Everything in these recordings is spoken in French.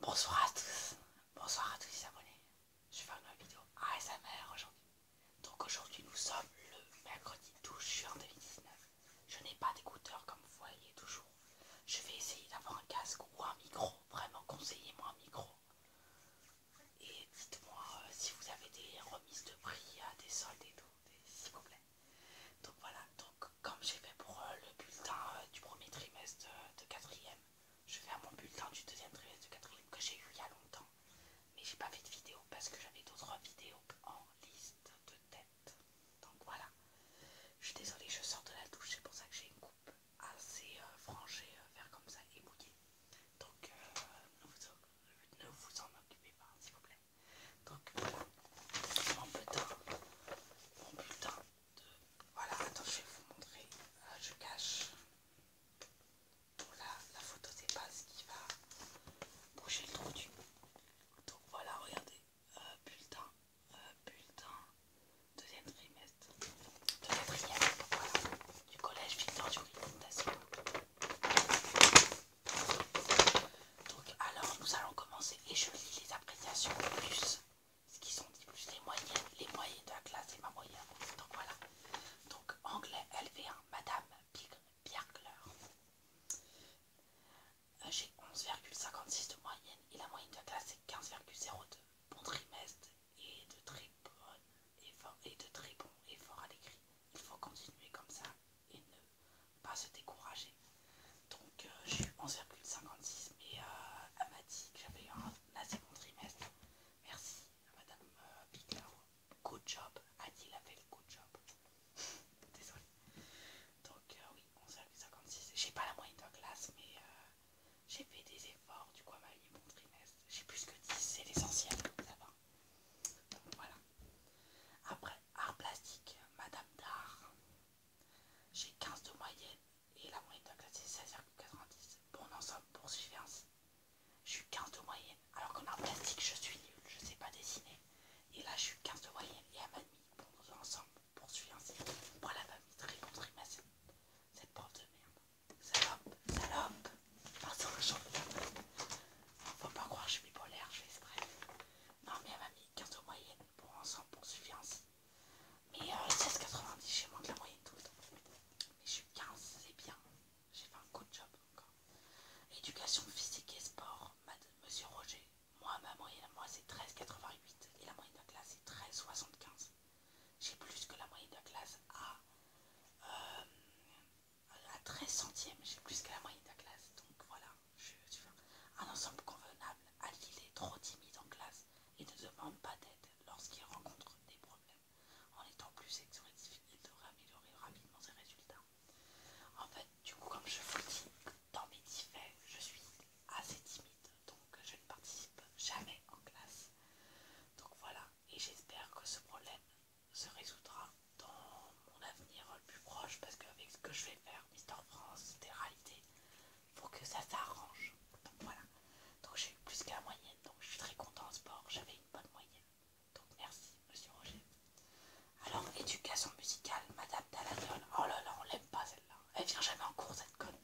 Bonsoir à tous, bonsoir à tous les abonnés. Je vais faire une nouvelle vidéo ASMR aujourd'hui. Donc aujourd'hui nous sommes le mercredi 12 juin 2019. Je n'ai pas d'écouteurs comme vous voyez toujours. Je vais essayer d'avoir un casque ou un micro. Vraiment conseillez-moi un micro. Et dites-moi euh, si vous avez des remises de prix des soldes et tout, s'il vous plaît. Donc voilà, donc comme j'ai fait pour euh, le bulletin euh, du premier trimestre euh, de quatrième, je vais à mon bulletin du deuxième trimestre de quatrième que j'ai eu il y a longtemps. Mais j'ai pas fait de vidéo parce que j'avais d'autres vidéos en liste de tête. Donc voilà. Je suis désolée, je sors de la douche, c'est pour ça que j'ai une coupe assez frangée, comme ça et Donc vous, ne vous en occupez pas, s'il vous plaît. Donc, mon bulletin, mon bulletin de... Voilà, attends, je vais vous montrer. Euh, je cache la, la photo pas ce qui va bouger le trou du... Donc voilà, regardez, euh, bulletin, euh, bulletin, deuxième trimestre, de quatrième, voilà, du collège Victor Dury, donc alors nous allons commencer et je lis les appréciations plus ce qui sont dit plus les moyennes, les moyennes de la classe et ma moyenne. Donc voilà. Donc anglais LV1, Madame Pierre-Claire, euh, J'ai 11,56 de moyenne et la moyenne de la classe est 15,02. Bon trimestre et de très bon et de très bon effort à l'écrit. Il faut continuer comme ça et ne pas se décourager. Donc j'ai eu 11,56 mais elle m'a dit que j'avais eu un assez bon trimestre. Merci Madame euh, Picard. Good job. Adil a fait le good job. Désolée. Donc euh, oui, 11,56. J'ai pas la moyenne de classe mais euh, j'ai fait des efforts. Du coup, elle m'a un bon trimestre. J'ai plus que 10, c'est l'essentiel. Ça va. Donc voilà. Après, Art plastique, Madame d'art J'ai 15 de moyenne et la moyenne de la classe est 16,90. Bon ensemble, poursuivez ainsi. Je suis 15 de moyenne, alors qu'en art plastique, je suis nulle, je sais pas dessiner. Et là, je suis 15 de moyenne et à ma demi, bon ensemble, poursuivez ainsi. la famille très bon Cette prof de merde. Salope, salope. On j'en pas croire je suis bipolaire, je fais exprès. Non, mais elle m'a mis 15 au moyenne pour ensemble pour suffisance. Mais 16,90, j'ai moins que la moyenne tout le temps. Mais je suis 15, c'est bien. J'ai fait un de job encore. Éducation physique et sport, monsieur Roger. Moi, ma moyenne à moi, c'est 13,88 et la moyenne de la classe, c'est 13,75. J'ai plus que la moyenne de classe à euh, la 13 centième, j'ai plus que la moyenne de la classe, donc voilà, je suis un ensemble convenable, à est trop timide en classe et ne demande pas d'aide lorsqu'il rencontre des problèmes. En étant plus sélectif, il devrait améliorer rapidement ses résultats. En fait, du coup, comme je vous dis, dans mes faits, je suis assez timide, donc je ne participe jamais en classe. Donc voilà, et j'espère que ce problème se résoudra dans mon avenir le plus proche parce que avec ce que je vais faire, Mister France, réalité réalité faut que ça s'arrange. Donc voilà. Donc j'ai eu plus qu'à la moyenne, donc je suis très content en sport, j'avais une bonne moyenne. Donc merci, monsieur Roger. Alors, éducation musicale, Madame Daladiol. Oh là là, on l'aime pas celle-là. Elle vient jamais en cours cette conne.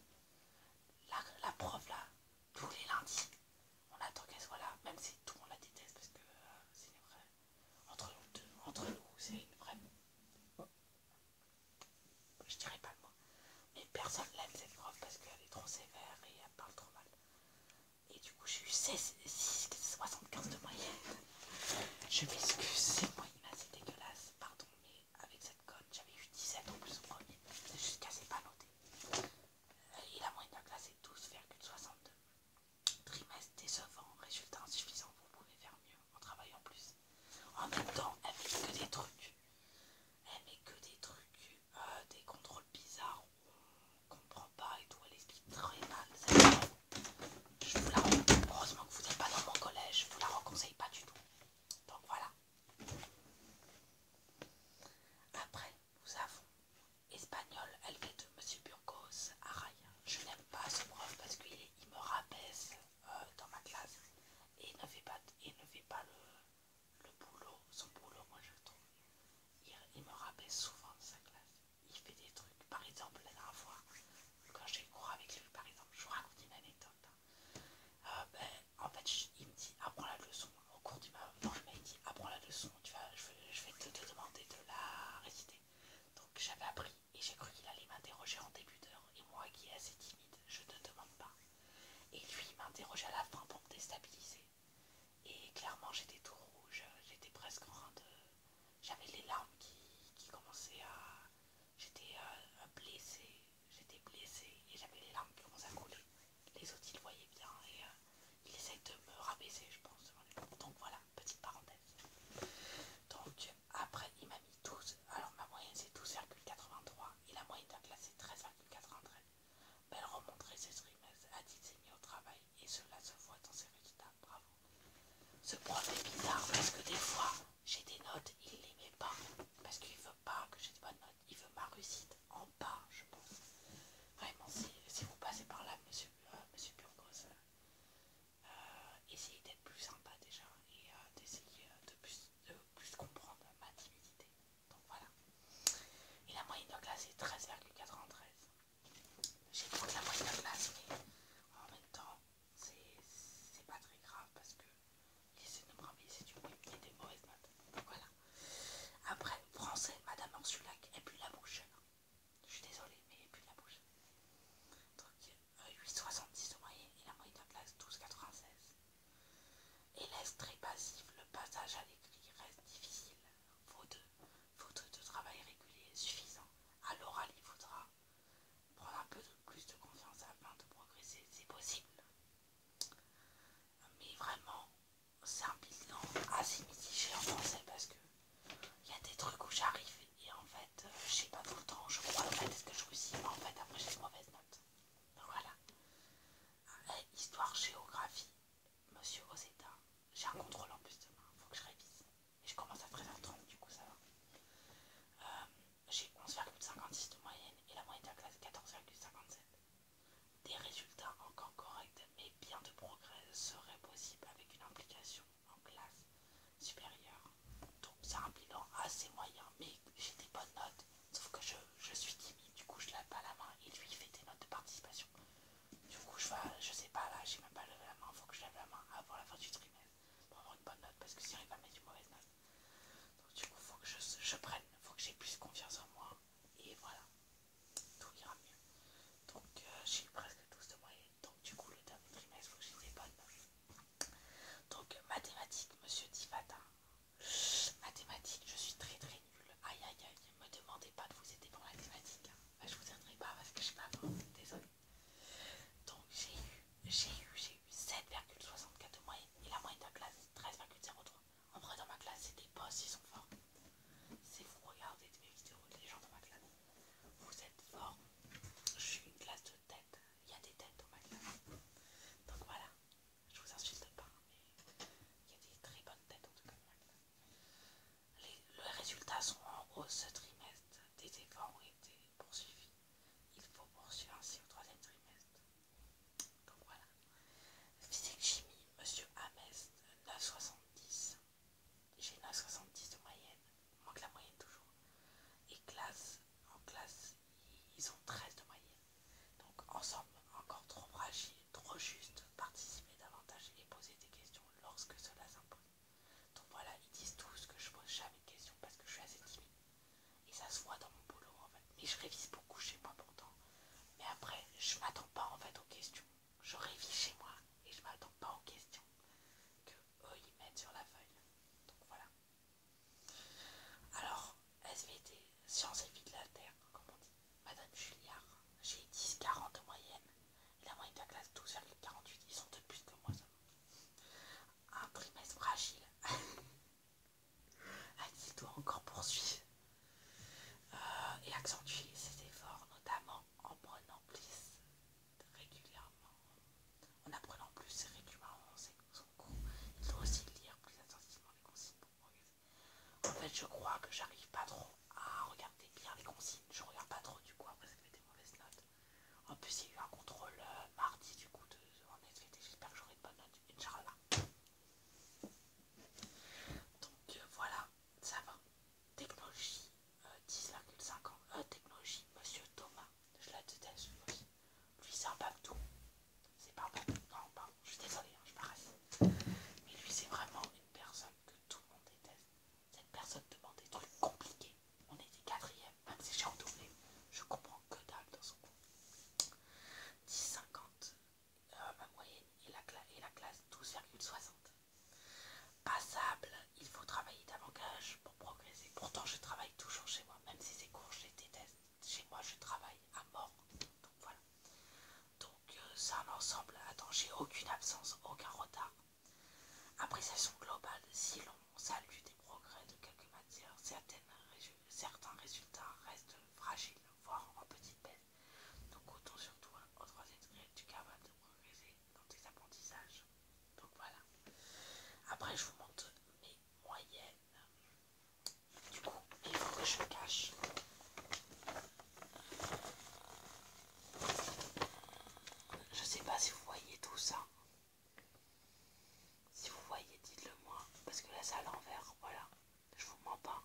La, la prof là, tous les lundis. On attend qu'elle soit là, même si tout le monde la déteste parce que euh, c'est une vraie. Entre nous deux, entre nous, c'est une vraie. Je dirais pas le mot. Mais personne l'aime cette grotte parce qu'elle est trop sévère et elle parle trop mal. Et du coup, j'ai eu 75 de moyenne. Je m'excuse, c'est moyenne assez dégueulasse, pardon, mais avec cette conne, j'avais eu 17 en plus au premier. C'est juste qu'elle s'est pas noté il a moyen de classer 12,62. Trimestre décevant, résultat insuffisant Vous pouvez faire mieux en travaillant plus. En même temps, elle fait que des trucs. Elle met que des trucs, euh, des contrôles bizarres, on comprend pas et tout, elle explique très mal. Je vous la heureusement que vous n'êtes pas dans mon collège, je vous la reconseille pas du tout. Donc voilà. Après, nous avons Espagnol LV de Monsieur Burgos à Je n'aime pas ce prof parce qu'il il me rabaisse euh, dans ma classe et ne fait pas, ne fait pas le, boulot, son boulot, moi je trouve. Il, me rabaisse souvent dans sa classe. Il fait des trucs. Par exemple, la dernière fois, quand j'ai cours avec lui, par exemple, je vous raconte une anecdote. Hein. Euh, ben, en fait, il me dit apprends la leçon. Au cours du je dit apprends la leçon. Tu vas, je, vais te, demander de la réciter. Donc j'avais appris et j'ai cru qu'il allait m'interroger en début d'heure. Et moi, qui est assez timide, je ne demande pas. Et lui, il m'interroge à la fin pour me déstabiliser. Et clairement, j'étais tout rouge. J'étais presque en train de. J'avais les larmes qui, commençaient à. J'étais euh, blessée j'étais blessée et j'avais les larmes qui ont à Les autres, ils le voyaient bien et il euh, ils essayaient de me rabaisser, je pense. Donc voilà, petite parenthèse. Donc après, il m'a mis 12. Alors ma moyenne, c'est 12,83 et la moyenne d'un classe, c'est 13,93. Bah, elle remontrait ses trimestres, a dit mis au travail et cela se voit dans ses résultats. Bravo. Ce prof est bizarre parce que des fois, j'ai des notes, il les met pas parce qu'il veut pas que j'ai de bonnes notes, il veut ma réussite en bas, je pense. Vraiment, si, vous passez par là, monsieur, euh, monsieur Burgos, euh, euh, essayez d'être plus sympa déjà et d'essayer de plus, comprendre ma timidité. Donc voilà. Et la moyenne de classe est 13,93. J'ai de la moyenne de classe, mais en même temps, c'est pas très grave parce que essaie de Bramille, c'est une qui des mauvaises Donc voilà. Après, français, Madame Ansulac, elle pue la bouche. Je suis désolée, mais elle pue la bouche. Donc, 8,76 8,70 au moyen et la moyenne de la classe 12,96. est très passif, le passage à l'écrit reste difficile. Faute de, faute de travail régulier suffisant, à l'oral il faudra prendre un peu plus de confiance afin de progresser, c'est possible. Mais vraiment, c'est un bilan assez mitigé en français parce que il y a des trucs où j'arrive et en fait, euh, je sais pas tout le temps, je crois en fait est-ce que je réussis, mais en fait après j'ai une mauvaises notes. Donc voilà. Euh, eh, histoire, géographie, monsieur Rosetta. j'ai un contrôle en plus demain, faut que je révise. Et je commence à faire un 30 du coup ça va. Euh, j'ai 11,56 de moyenne et la moyenne de la classe 14,57. Des résultats encore corrects, mais bien de progrès seraient possibles avec une implication en classe supérieure. Donc c'est un bilan assez moyen, mais j'ai des bonnes notes, sauf que je, suis timide, du coup je lève pas la main et lui il fait des notes de participation. Du coup je vais, je sais pas là, j'ai même pas levé la main, faut que je lève la main avant la fin du trimestre pour avoir une bonne note parce que si j'arrive à mettre une mauvaise note. Donc du coup, faut que je, je prenne, faut que j'ai plus confiance en moi et voilà, tout ira mieux. Donc euh, j'ai eu presque tous de moyenne, donc du coup le dernier trimestre, faut que j'ai des bonnes notes. Donc mathématiques, monsieur Divata, mathématiques, je suis très très nulle. Aïe aïe aïe, ne me demandez pas de vous aider pour mathématiques. Hein. Bah, je vous aiderai pas parce que je sais pas, désolé. Donc j'ai eu, j'ai eu, 7,64 de moyenne et la moyenne de la classe 13,03. En vrai dans ma classe c'est des boss, ils sont forts. Si vous regardez mes vidéos, les gens dans ma classe, vous êtes forts. Je suis une classe de tête, il y a des têtes dans ma classe. Donc voilà, je vous insulte pas, hein, mais il y a des très bonnes têtes en tout cas dans ma classe. Les, résultats sont en hausse ce trimestre des efforts poursuivi. Il faut poursuivre ainsi au troisième trimestre. Donc voilà. Physique chimie, monsieur Amest, 9,70. J'ai 9,70 de moyenne, moins que la moyenne toujours. Et classe, en classe, ils ont 13 de moyenne. Donc ensemble, encore trop fragile, trop juste, participer davantage et poser des questions lorsque cela s'impose. Donc voilà, ils disent tous que je pose jamais de questions parce que je suis assez timide. Et ça se voit dans mon boulot en fait. Mais je révise beaucoup chez moi pourtant. Mais après, je m'attends pas en fait aux questions. Je révise chez moi et je m'attends pas aux questions que eux ils mettent sur la feuille. Donc voilà. Alors, SVT, sciences et vie de la Terre, comme on dit, Madame Julliard, j'ai 10-40 de moyenne. Il a moins de la classe 48, Ils sont de plus que moi. Un trimestre fragile. Axel doit encore poursuivre euh, et accentuer ses efforts, notamment en prenant plus régulièrement. En apprenant plus régulièrement son cours, il doit aussi lire plus attentivement les consignes pour progresser. En fait, je crois que j'arrive pas trop ah, regardez bien les consignes, je regarde pas trop du coup, après ça fait des mauvaises notes. En plus, il y a eu un contrôle euh, mardi du coup de, SVT, j'espère que j'aurai de bonnes notes, Inch'Allah. Donc euh, voilà, ça va. Technologie 10,5 euh, ans. technologie, monsieur Thomas, je la déteste lui aussi. Lui, c'est un Babdou. C'est pas bon non, pardon, je suis désolée, hein, je paraisse Mais lui, c'est vraiment une personne que tout le monde déteste. Cette personne demande des trucs compliqués. On était quatrième, même si j'ai redoublé. Je comprends que dalle dans son cours. 10,50, euh, ma moyenne, et la, la classe 12,60. Passable, il faut travailler davantage pour progresser. Pourtant, je travaille toujours chez moi, même si c'est court je déteste. Chez moi, je travaille à mort. Donc voilà que c'est un ensemble à danger, aucune absence, aucun retard. Appréciation globale, si l'on salue des progrès de quelques matières, certains résultats restent fragiles, voire en petite baisse. Donc autant surtout au troisième degré, tu es de progresser dans tes apprentissages. Donc voilà. Après je vous montre mes moyennes. Du coup, il faut que je cache je sais pas si vous voyez tout ça. Si vous voyez, dites-le moi. Parce que là, c'est à l'envers. Voilà. Je vous mens pas.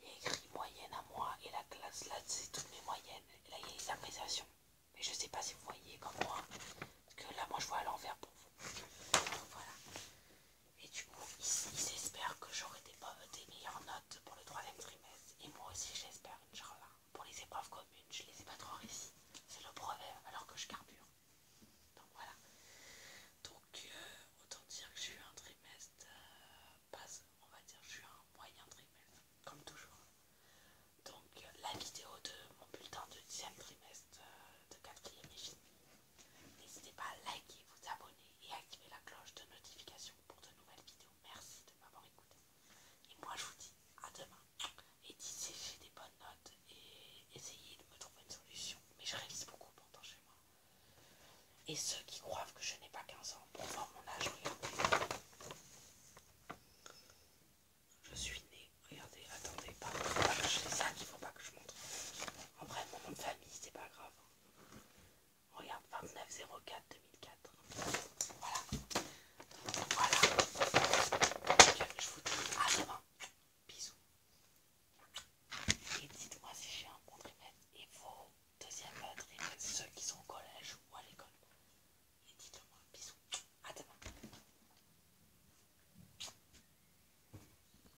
Il y a écrit moyenne à moi. Et la classe, là, c'est toutes mes moyennes. là, il y a les appréciations. Mais je sais pas si vous voyez comme moi. Parce que là, moi, je vois à l'envers pour vous. Voilà. Et du coup, ils, espèrent que j'aurai des, meilleures notes pour le troisième trimestre. Et moi aussi, j'espère, là, Pour les épreuves communes, je les ai pas trop réussies. C'est le brevet, alors que je carbure. Donc voilà. Donc, euh, autant dire que j'ai eu un trimestre, euh, on va dire, j'ai eu un moyen trimestre, comme toujours. Donc, euh, la vidéo de mon bulletin de 10 trimestre de 4 est N'hésitez pas à liker, vous abonner et activer la cloche de notification pour de nouvelles vidéos. Merci de m'avoir écouté. Et moi je vous dis à demain. Et d'ici j'ai des bonnes notes et essayez de me trouver une solution. Mais je réalise beaucoup pendant chez moi. Et ceux qui croient que je n'ai pas 15 ans, pour voir mon âge, regardez. Je suis née, regardez, attendez, pas, il faut pas que je montre. En vrai, mon nom de famille, c'est pas grave. Hein. Regarde, 29,04-2004. Voilà. Voilà. je vous dis à demain. Bisous. Et dites-moi si j'ai un bon trimestre et vos deuxième trimestres, ceux qui sont au collège ou à l'école. Et dites moi Bisous. À demain.